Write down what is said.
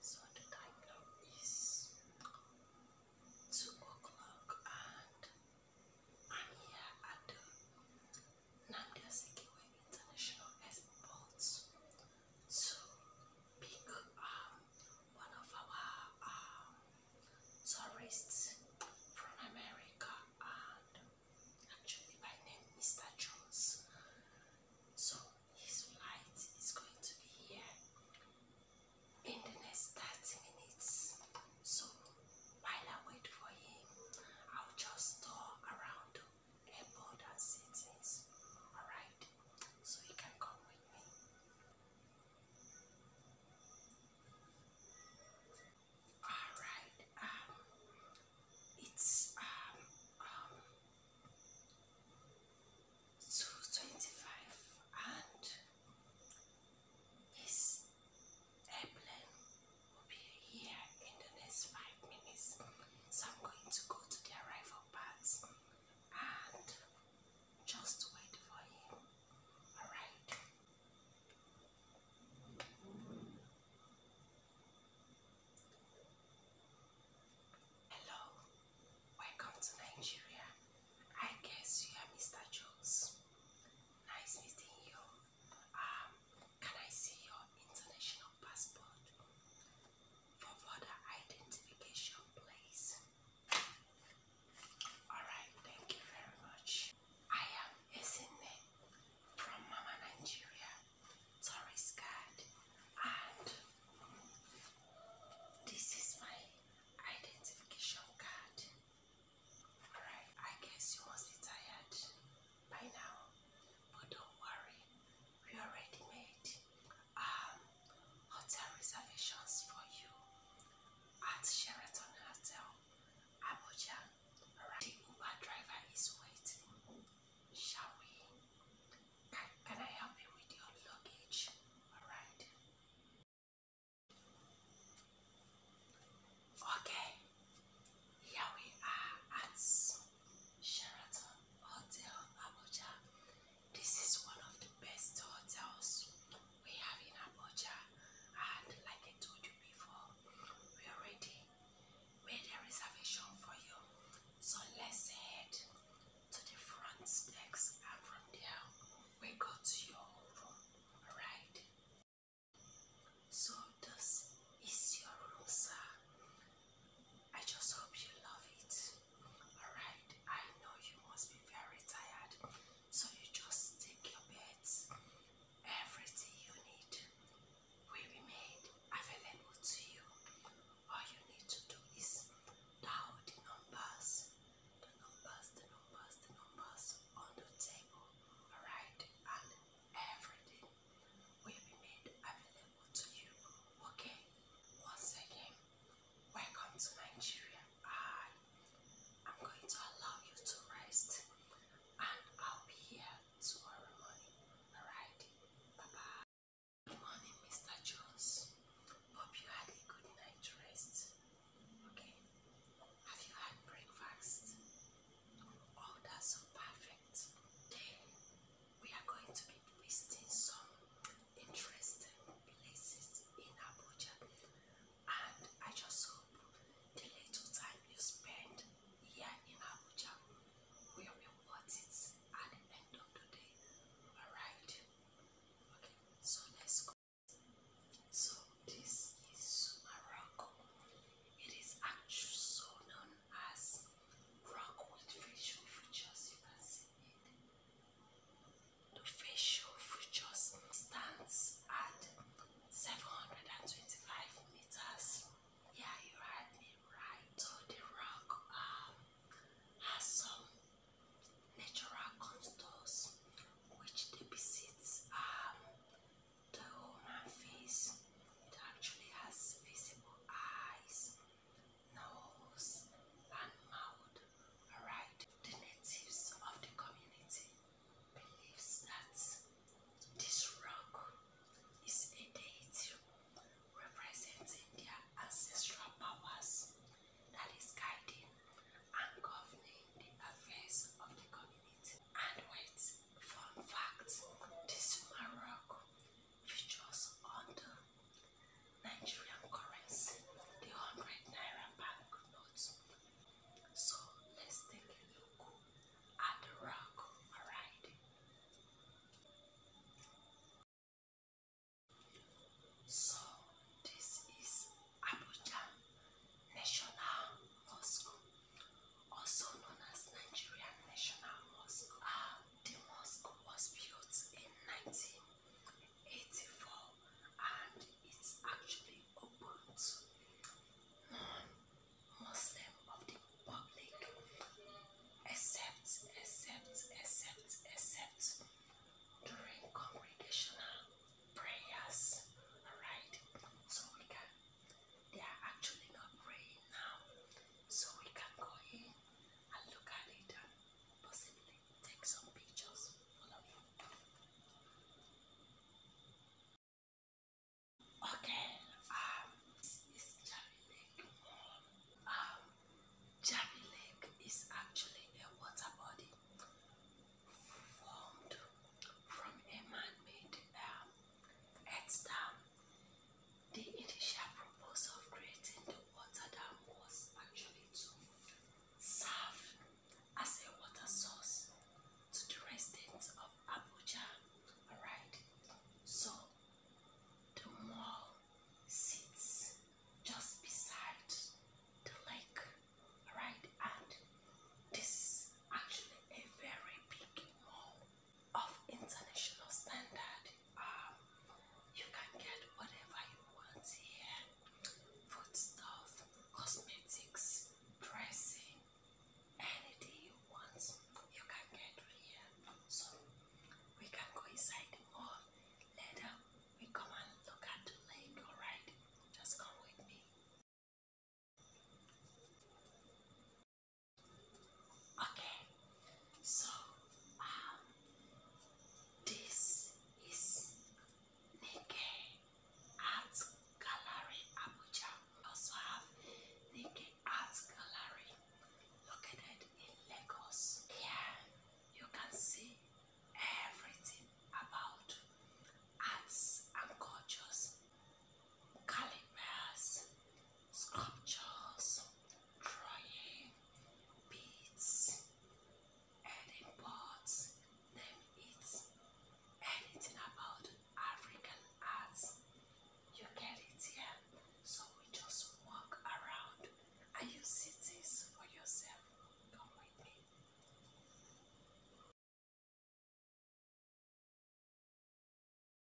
so the time now is two o'clock and I'm here at the Namdi Azikiwe International Airport to pick one of our um, tourists from America and Actually, my name Mr. Jones. So his flight is going to be here in the next 30 minutes. So while I wait for him, I'll just tour around the airport and Alright? So he can come with me. Alright, um, it's, um, um, 225 and this airplane will be here in the next 5 minutes. So I'm going to go to the arrival pads and just wait for him. Alright. Hello, welcome to Nigeria. I guess you are Mr. Jones. Nice meeting you. Um, can I see your international passport for further identification, please? Alright, thank you very much. I am Esene from Mama Nigeria, Tourist Guide, and this is my identification card. Alright, I guess you must be tired by now, but don't worry, we already made um, hotel reservations for you at Sheraton Hotel Abuja. The Uber driver is waiting. Shall we? Can, can I help you with your luggage? Alright. Okay. Here we are at Sheraton Hotel Abuja. This is one of the best hotels we have in Abuja. And like I told you before, we already made a reservation for you. So let's head to the front desk and from there we go to your room, All right? So this is your room, sir. I just hope you love it. Alright, I know you must be very tired. So you just take your beds, everything you need will be made available to you. All you need to do is dial the numbers, the numbers, the numbers, the numbers on the table, alright? And everything will be made available to you, okay? Once again, welcome to Nigeria. I am going to allow you to rest and I'll be here tomorrow morning. Alright? Bye bye. Good morning, Mr. Jones. Hope you had a good night to rest. Okay? Have you had breakfast? Oh, that's so perfect. we are going to be visiting some interesting places in Abuja and I just hope the little time you spend here in Abuja will be worth it at the end of the day. Alright? Okay, so let's go. So this is Morocco. It is actually so known as rock with facial features. You can see it. The facial features stands at 725 meters. Yeah, you heard me right. the rock has some natural contours which deposits the human face. It actually has visible eyes, nose, and mouth. Alright. The natives of the community believes that this rock is a deity representing their ancestral powers that is guiding and governing the affairs of the community. And wait, fun fact, this rock features on the Nigerian currency, the 100 Naira bank So let's take a look at the rock, alright? So this is Abuja National Mosque, also known as Nigerian National Mosque. Ah, the mosque was built in 19 84 and it's actually open non-Muslim of the public except, except, except, except during congregational prayers. Alright, so we can, they are actually not praying now, so we can go in and look at possibly Take some pictures. Okay. Um, this is Jabi Lake. Um, Jabi Lake is actually a water body formed from a man-made dam um, the initial proposal of creating the water dam was actually to serve as a water source to the residents of Abuja, alright? So the mall sits just beside the lake, alright? And this is actually a very big mall of international standard. Um, you can get whatever you want here foodstuff, cosmetics, dressing, anything you want, you can get here. So, we can go inside the later. We come and look at the lake, alright? Just come with me. Okay, so um, this is Nikkei Art Gallery Abuja. Also have Nikkei Art Gallery located in Lagos. Here you can see everything about arts and cultures, calipers, sculptures, drawing, beads, and imports, name it, anything about African arts, you get it here. So we just walk around and you see this for yourself. Come with me.